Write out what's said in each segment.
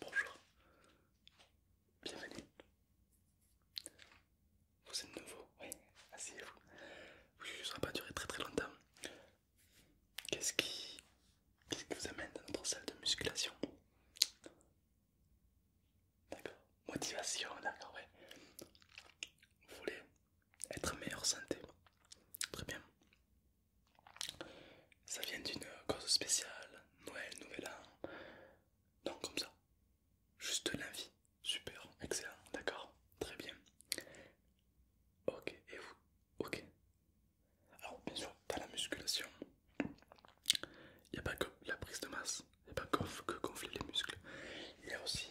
Bonjour, bienvenue. Vous êtes nouveau, oui, asseyez-vous. Oui, ne va pas durer très très longtemps. Qu'est-ce qui... vous amène dans notre salle de musculation D'accord, motivation, d'accord, oui, Vous voulez être en meilleure santé. Très bien. Ça vient d'une cause spéciale, Noël, Nouvel An. Non, comme ça. Juste l'envie. Super, excellent, d'accord, très bien. Ok, et vous Ok. Alors, bien sûr, dans la musculation, il n'y a pas que la prise de masse, il n'y a pas que, que gonfler les muscles. Il y a aussi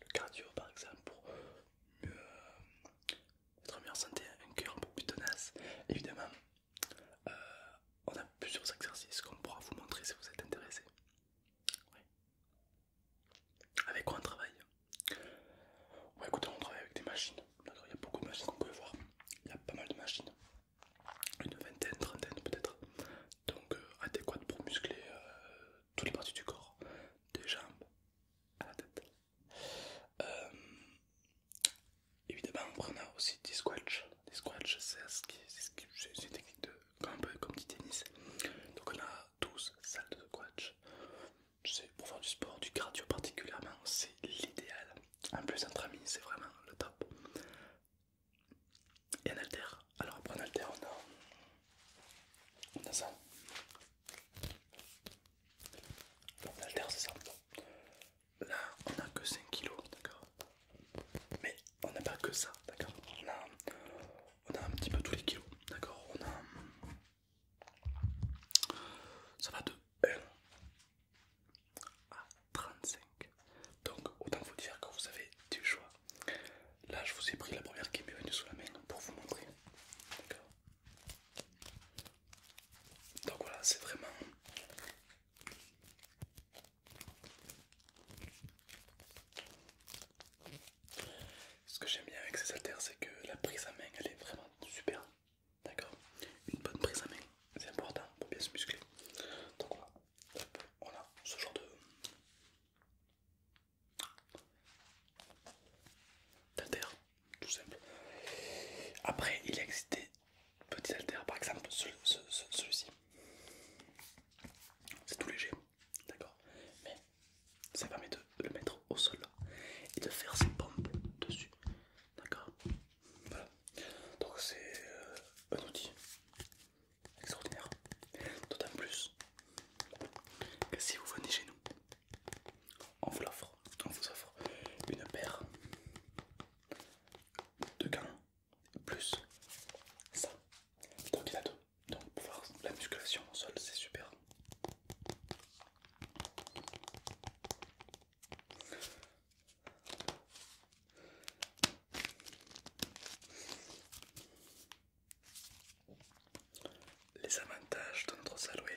le cardio par exemple pour mieux, euh, être en meilleure santé, un cœur peu plus tenace. Évidemment, euh, on a plusieurs exercices qu'on pourra vous montrer si vous êtes intéressé. Avec quoi on travaille on travaille avec des machines. Il y a beaucoup de machines qu'on peut voir. Il y a pas mal de machines, une vingtaine, trentaine peut-être. Donc euh, adéquates pour muscler toutes les parties du corps, des jambes à la tête. Euh, évidemment, on a aussi des squats. Des squats, c'est ce une technique de, un peu comme du tennis. Donc on a 12 salles de squats. C'est pour faire du sport, du cardio particulièrement, c'est l'idéal. En plus, entre amis, c'est vraiment le top. Et un alter, alors après l'alter, on a, on a ça. c'est ça. Là on a que 5 kg, d'accord Mais on n'a pas que ça, d'accord on a, on a un petit peu tous les kilos, d'accord On a... Ça va de 1 à 35. Donc autant vous dire que vous avez du choix Là, je vous ai pris la première qui m'est venue sous la main pour vous montrer. Donc voilà, c'est vraiment. Ce que j'aime bien avec ces haltères, c'est que la prise à main, elle est vraiment super. D'accord Une bonne prise à main, c'est important pour bien se muscler. Donc voilà, on a ce genre de D'altère, tout simple. Après, il existe des petits haltères, par exemple celui-ci. C'est tout léger, d'accord Mais ça permet de le mettre au sol et de faire ses pompes dessus, d'accord Voilà. Donc c'est euh, un outil extraordinaire. D'autant plus que si vous venez chez nous, on vous l'offre, on vous offre une paire de gants plus ça. Donc il a deux. Donc la musculation au sol, c'est super. Les avantages de notre salle, oui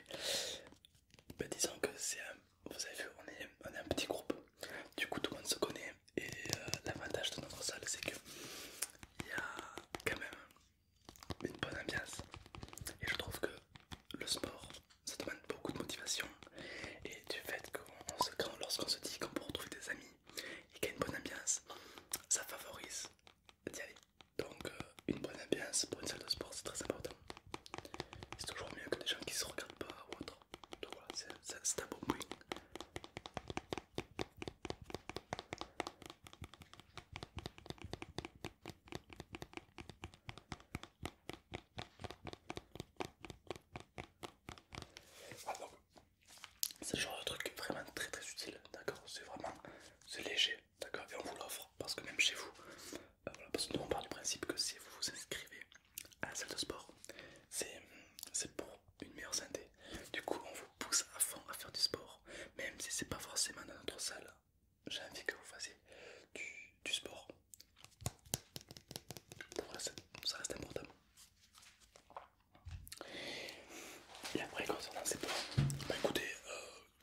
ben, disons que c'est vous avez vu, on est, un petit groupe, du coup tout le monde se connaît et euh, l'avantage de notre salle c'est que il y a quand même une bonne ambiance et je trouve que le sport ça demande beaucoup de motivation et du fait qu'on se lorsqu'on se dit qu'on peut retrouver des amis et qu'il y a une bonne ambiance, ça favorise d'y aller. Donc, euh, une bonne ambiance pour une salle de sport, c'est très important. C'est toujours mieux que des gens qui se regardent pas ou autre. Donc voilà, c'est un bon point. Ah, c'est genre de truc vraiment très très utile, d'accord C'est vraiment c'est léger, d'accord Et on vous l'offre parce que même chez vous, euh, voilà, parce que nous on part du principe que si vous vous inscrivez à la salle de sport, c'est pour une meilleure santé. Du coup, on vous pousse à fond à faire du sport, même si c'est pas forcément dans notre salle. J'ai envie que vous fassiez du, sport. ça reste important. Et après, concernant ces points, bah écoutez, euh,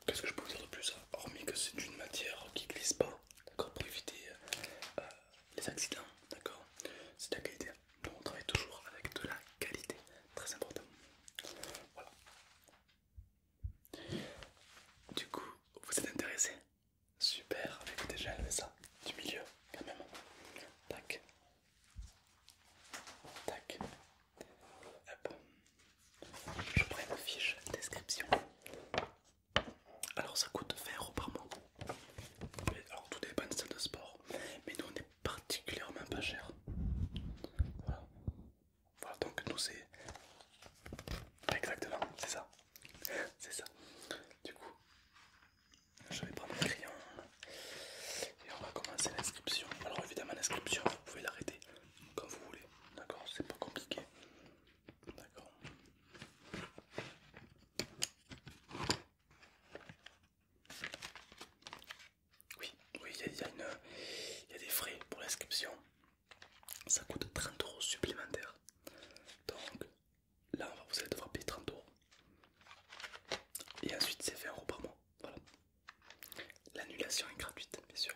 qu'est-ce que je peux vous dire de plus hein, Hormis que c'est une matière qui glisse pas, d'accord, pour éviter euh, les accidents, d'accord C'est de la qualité. Donc on travaille toujours avec de la qualité, très important. Voilà. Du coup, vous êtes intéressé Super, écoutez, j'ai enlevé ça du milieu quand même. Tac. Tac. Je prends une fiche description. Alors ça coûte faire, euros par mois. alors tout dépend des salles de sport. Mais nous on est particulièrement pas cher. Voilà. Voilà donc nous c'est... Exactement, c'est ça. C'est ça. Du coup, je vais prendre un crayon et on va commencer l'inscription. Alors évidemment l'inscription vous pouvez l'arrêter quand vous voulez, d'accord C'est pas compliqué. D'accord. Oui, oui, il y, y a des frais pour l'inscription. Ça coûte 30 euros supplémentaires. Donc Là, vous allez devoir payer 30 euros. Et ensuite, c'est 20 euros par mois. Voilà. L'annulation est gratuite, bien sûr.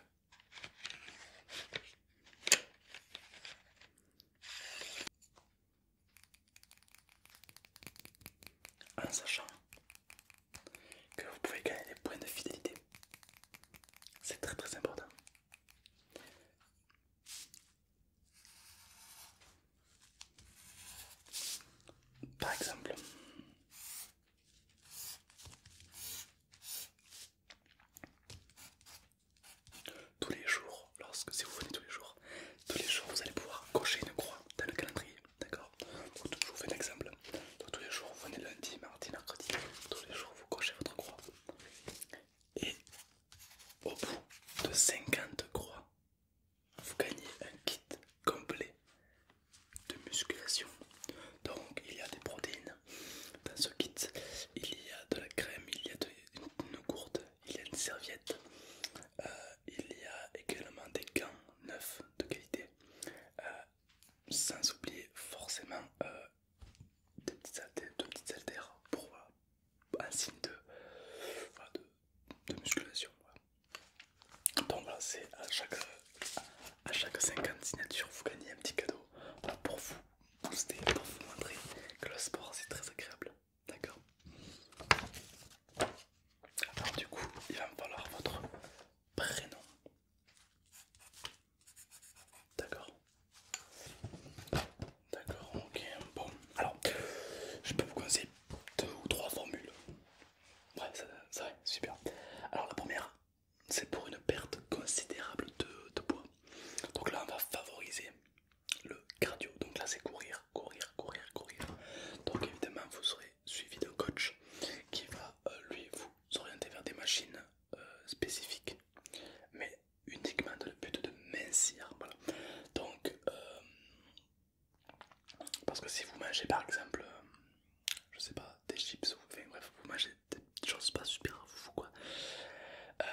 En sachant que vous pouvez gagner des points de fidélité, c'est très très important. Par exemple, tous les jours, lorsque si vous venez tous les jours, tous les jours vous allez pouvoir cocher une croix dans le calendrier, d'accord Je vous fais un exemple. tous les jours vous venez lundi, mardi, mercredi, tous les jours vous cochez votre croix et au bout de 50 croix, vous gagnez un kit complet de musculation. Donc il y a des protéines dans ce kit, il y a de la crème, il y a de, une, gourde, il y a une serviette, euh, il y a également des gants neufs de qualité, euh, sans oublier forcément euh, des, petites deux petites haltères pour, bah, un signe de, musculation. Donc voilà, c'est à chaque, à chaque 50 signatures, vous gagnez un petit cadeau pour vous booster, pour vous montrer que le sport c'est très agréable. D'accord Alors du coup, il va me falloir votre prénom. D'accord D'accord, ok. Bon, alors, je peux vous conseiller deux ou trois formules. Ouais, ça va, super. Alors, la première, c'est pour une perte considérable de, poids. Donc là, on va favoriser le cardio. Donc là, c'est courir, courir, courir, courir. Donc évidemment, vous serez suivi d'un coach qui va, euh, lui, vous orienter vers des machines euh, spécifiques. Mais uniquement dans le but de mincir. Donc, euh, parce que si vous mangez par exemple, je sais pas, des chips ou vous mangez des choses pas super fou quoi, euh,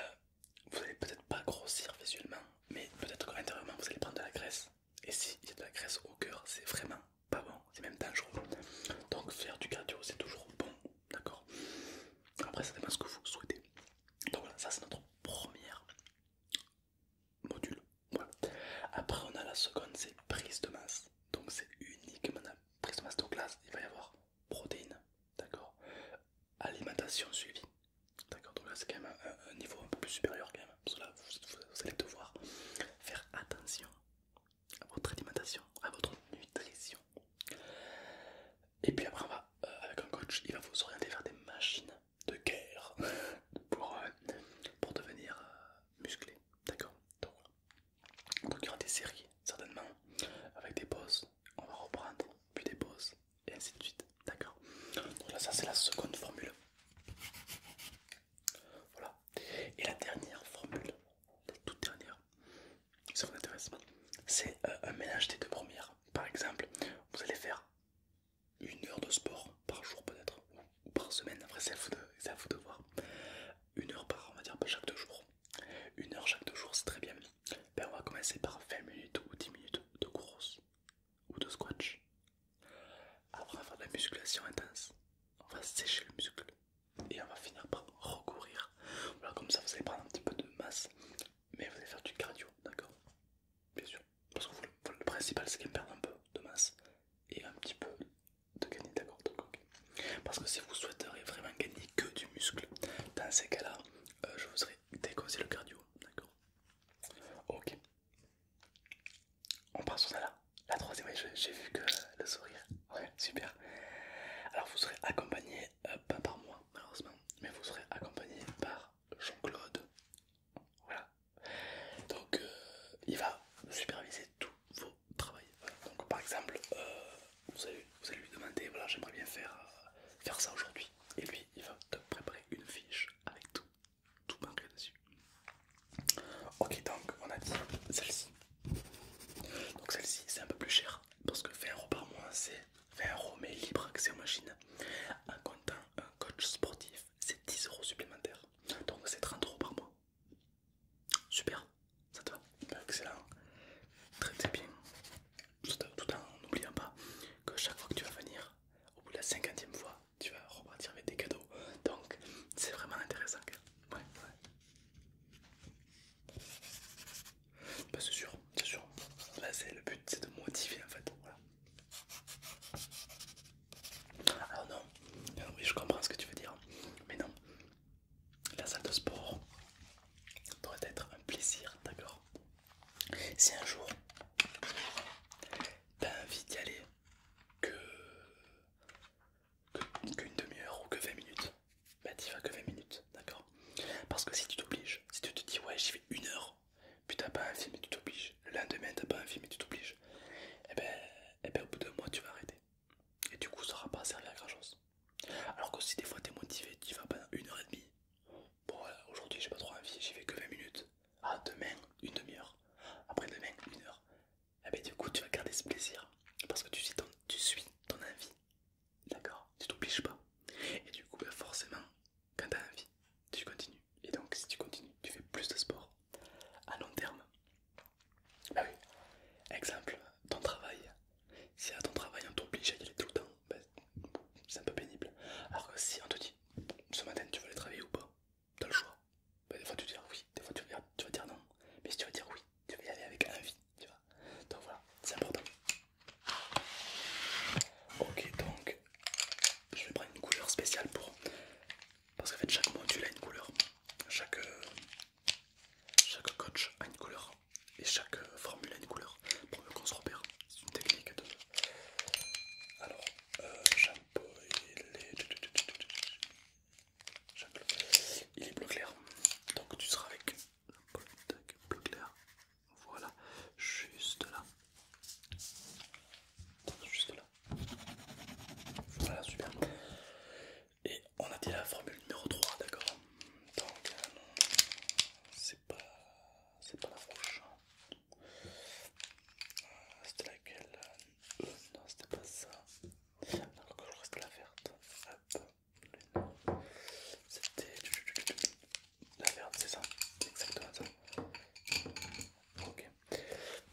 vous allez peut-être pas grossir visuellement, mais peut-être qu'intérieurement vous allez prendre de la graisse. Et il y a de la graisse au cœur, c'est vraiment pas bon, c'est même dangereux. Donc, faire du cardio c'est toujours bon d'accord Après, ça dépend ce que vous souhaitez. Donc voilà, ça c'est notre première module. Voilà. Après, on a la seconde, c'est prise de masse. Donc c'est uniquement la prise de masse. de là, il va y avoir protéines, d'accord Alimentation suivie, d'accord Donc là, c'est quand même un, niveau un peu plus supérieur quand même. là, vous allez devoir faire attention à votre alimentation, à votre nutrition, et puis après, on va, euh, avec un coach, il va vous orienter vers des machines de guerre euh, pour, devenir euh, musclé. D'accord Donc il y aura des séries, certainement, avec des pauses. On va reprendre, puis des pauses, et ainsi de suite. D'accord Donc là, ça c'est la seconde formule. Voilà. Et la dernière formule, la toute dernière, si ça vous intéresse, c'est euh, un mélange des deux premières. Par exemple, vous allez faire une heure de sport par jour peut-être, ou par semaine, après c'est à, vous de voir. Une heure par, on va dire, chaque deux jours. Une heure chaque deux jours, c'est très bien. Ben, on va commencer par 20 minutes ou 10 minutes de course ou de squats Après, on va faire de la musculation intense. On va sécher le muscle et on va finir par recourir. comme ça vous allez prendre un petit peu de masse, mais vous allez faire du cardio, d'accord Bien sûr, parce que le, principal c'est qu'elle perde un peu de masse et un petit peu de gagner, d'accord ok. Parce que si vous souhaiterez vraiment gagner que du muscle, dans ces cas-là, euh, je vous serai déconseillé le cardio, d'accord Ok. On passe sur ça là. La troisième, j'ai vu que le sourire. Ouais, super. Alors vous serez accompagné euh, pas par moi malheureusement, mais vous serez accompagné par Jean-Claude. Voilà. Donc euh, il va superviser tous vos travaux. Donc par exemple, euh, vous, allez, vous allez lui demander, voilà j'aimerais bien faire, faire ça aujourd'hui. Et lui, il va te préparer une fiche avec tout, tout marqué dessus. Ok donc on a dit celle-ci. Donc celle-ci c'est un peu plus cher parce que 20€ euros par mois c'est 20 euros mais libre accès aux machines en comptant un coach sportif c'est 10 euros supplémentaires donc c'est 30 euros par mois super ça te va ben, excellent très très bien tout en n'oubliant pas que chaque fois que tu vas venir au bout de la cinquantième fois tu vas repartir avec des cadeaux donc c'est vraiment intéressant bah, c'est sûr, c'est sûr. le but, c'est de motiver en fait. Alors non, euh, oui je comprends ce que tu veux dire, mais non, la salle de sport doit être un plaisir, d'accord Si un jour t'as envie d'y aller, que qu'une demi-heure ou que 20 minutes, bah t'y vas que 20 minutes, d'accord Parce que si tu t'obliges, si tu te dis ouais j'y vais une heure, puis t'as pas un film et tu t'obliges, le lendemain t'as pas un film et tu t'obliges, et eh ben, et eh ben au bout d'un mois tu vas arrêter. Et du coup ça aura pas servi à grand chose. Alors que si des fois t'es motivé, tu vas pendant une heure et demie, bon voilà, aujourd'hui j'ai pas trop envie, j'y vais que 20 minutes. Ah demain, une demi-heure. Après demain, une heure. Et ah, bien du coup tu vas garder ce plaisir parce que tu suis ton, tu suis ton envie, d'accord Tu t'obliges pas. Et du coup bah, forcément quand t'as envie, tu continues. Et donc si tu continues, tu fais plus de sport à long terme. Bah oui. Exemple, ton travail. Si à ton travail on t'oblige à y aller tout le temps, bah, c'est un peu pénible. Alors que si on te dit ce matin tu veux aller travailler ou pas, t'as le choix. Bah, des fois tu vas dire ah oui, des fois tu vas, tu vas dire non. Mais si tu vas dire oui, tu vas y aller avec envie, tu vois. Donc voilà, c'est important. Ok, donc je vais prendre une couleur spéciale pour. Parce que fait, chaque module a une couleur, chaque, chaque coach a une couleur et chaque formule a une couleur pour qu'on se repère. C'est une technique Alors, euh, et les. Il est bleu clair. Donc tu seras avec bleu clair. Voilà, juste là. Juste là. Voilà, super. Et on a dit la formule numéro 3, d'accord Donc, euh, c'est pas, pas la rouge. Euh, c'était laquelle euh, Non, c'était pas ça. Alors reste la verte. Hop. C'était la verte, c'est ça. Exactement ça. Ok.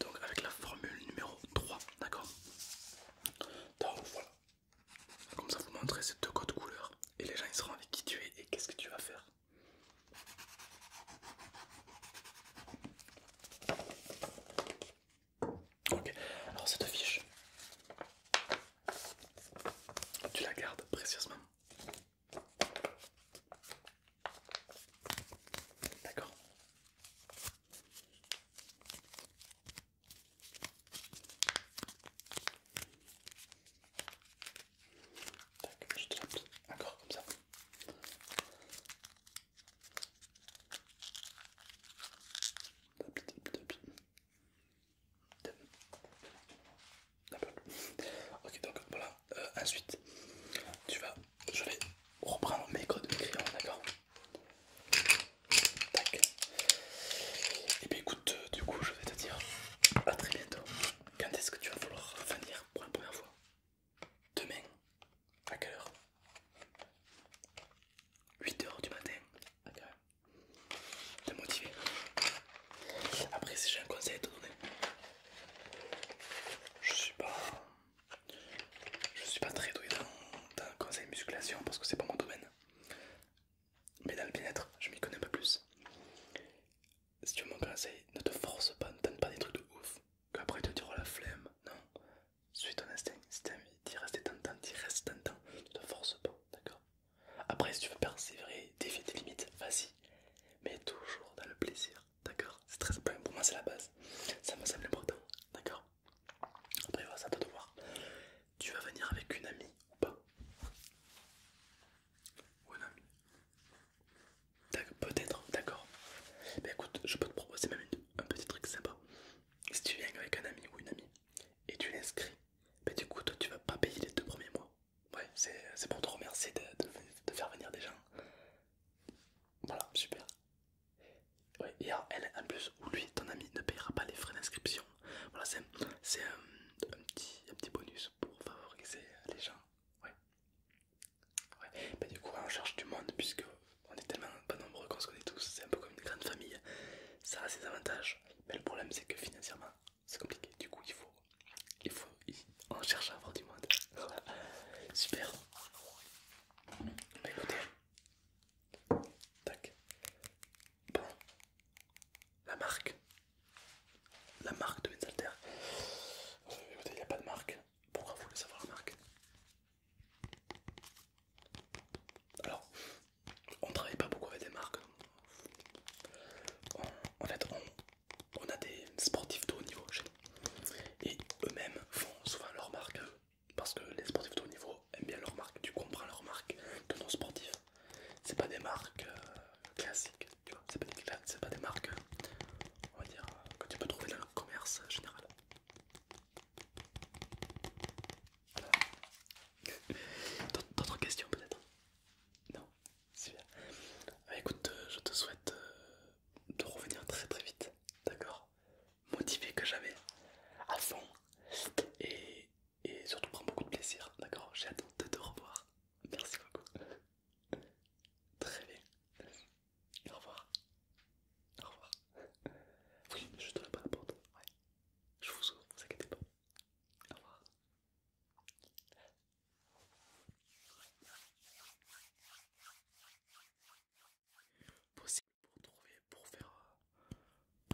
Donc avec la formule numéro 3, d'accord voilà. Comme ça vous montrez ces deux codes couleurs et les gens ils seront avec qui tu es et qu'est-ce que tu vas faire. Ok, alors cette fiche, tu la gardes précieusement. D'accord. je te encore comme ça. Ok donc voilà, euh, ensuite tu vas, je vais reprendre mes codes crayon d'accord Tac. Et eh bien écoute, euh, du coup je vais te dire à très bientôt. Quand est-ce que tu vas vouloir venir pour la première fois Demain, à quelle heure 8h du matin. de T'es motivé. Après, si j'ai un conseil à te donner, je suis pas. Je suis pas très doué dans, le conseil musculation parce que c'est pas mon domaine. Mais dans le bien-être, je m'y connais un peu plus. Si tu veux mon conseil, ne te force pas, ne donne pas des trucs de ouf. Qu'après, te dire la flemme. Non, suis ton instinct, si t'as envie d'y rester tentant, d'y reste tentant, tu te forces pas, d'accord Après, si tu veux persévérer, défier tes limites, vas-y, mais toujours dans le plaisir, d'accord C'est très important, pour moi c'est la base, ça me semble important, d'accord Après, voilà, ça doit te voir. Tu vas venir avec une amie ou pas Ou un ami Peut-être, d'accord Mais écoute, je peux te proposer même une un petit truc sympa. Si tu viens avec un ami ou une amie et tu l'inscris, mais ben, du coup toi tu vas pas payer les deux premiers mois. Ouais, c'est pour te remercier de, faire venir des gens. Voilà, super. et elle, en plus, ou lui, ton ami, ne payera pas les frais d'inscription. Voilà, c'est euh, un, petit, petit bonus pour favoriser les gens. Ouais. Ouais. Bah, du coup, on cherche du monde puisque on est tellement pas nombreux qu'on se connaît tous. C'est un peu comme une grande famille. Ça a ses avantages, mais le problème c'est que financièrement c'est compliqué. Du coup, il faut, il faut, on cherche à avoir du monde. Super. Bah, écoutez. Tac. Bon. La marque. La marque de Bensalter. Euh, il n'y a pas de marque. Pourquoi vous voulez savoir la marque alors, on travaille pas beaucoup avec des marques. en fait, on, a des sportifs de haut niveau chez nous. Et eux-mêmes font souvent leurs marques parce que les sportifs de haut niveau aiment bien leurs marques. tu comprends leur marque, leurs marques de nos sportifs. C'est pas des marques euh, classiques, tu vois. C'est pas, pas des marques, on va dire, que tu peux trouver dans le commerce général. D'autres questions peut-être Non Super. Bah, écoute, euh, je te souhaite euh, de revenir très très vite, d'accord Motivé que jamais, à fond, et, et surtout prends beaucoup de plaisir, d'accord J'ai hâte de te revoir. Merci beaucoup. Très bien. Au revoir. Au revoir. Oui, je te la pas la porte. Ouais. Je vous ouvre, vous inquiétez pas. Au revoir. Possible pour trouver, pour faire,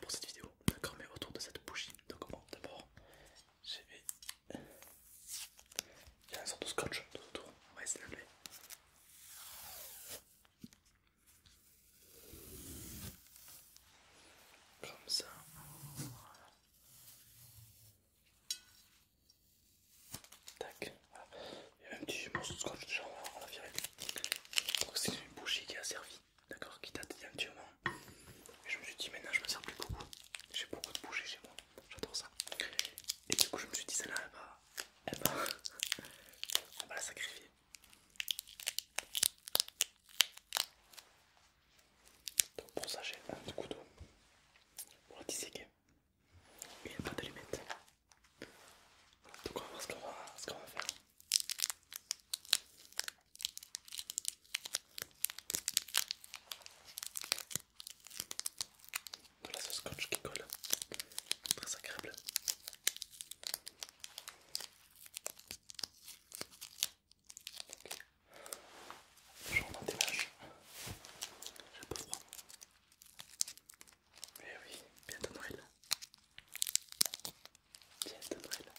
pour cette vidéo, d'accord, mais autour de cette bougie. Donc comment d'abord, je vais il y a une sorte de scotch tout autour. On va essayer de Comme ça. Voilà. Tac. Il y avait un petit morceau de scotch déjà, on va virer. que c'est une bougie qui a servi, d'accord, qui date d'un Et je me suis dit maintenant je me sers plus beaucoup. J'ai beaucoup de bougies chez moi j'adore ça. Et du coup, je me suis dit, celle-là, elle va, va, la sacrifier. Donc pour ça, j'ai un petit couteau pour la disséquer a pas de limite Donc on va voir ce qu'on va faire de la sauce scotch qui colle, très agréable. Okay. J'en des vaches, j'ai un peu froid. Eh oui, bientôt Noël. Bientôt Noël.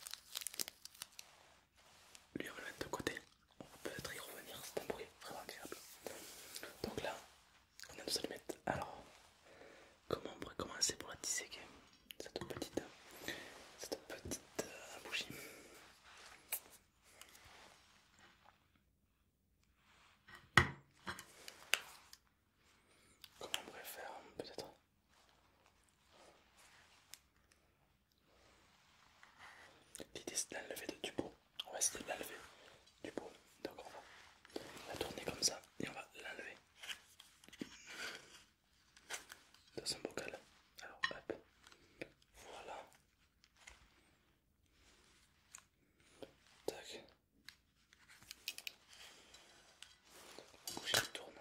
Lui on le mettre de côté on peut peut-être y revenir, c'est un bruit vraiment agréable. Donc là, on a nos allumettes. Alors, comment on pourrait commencer pour la disséquer cette petite, cette petite euh, bougie Comment on pourrait faire peut-être L'idée c'est de l'enlever du pot. On va essayer de l'enlever du pot. Donc on va la tourner comme ça et on va l'enlever dans son bocal. Alors hop, voilà. Tac. La tourne.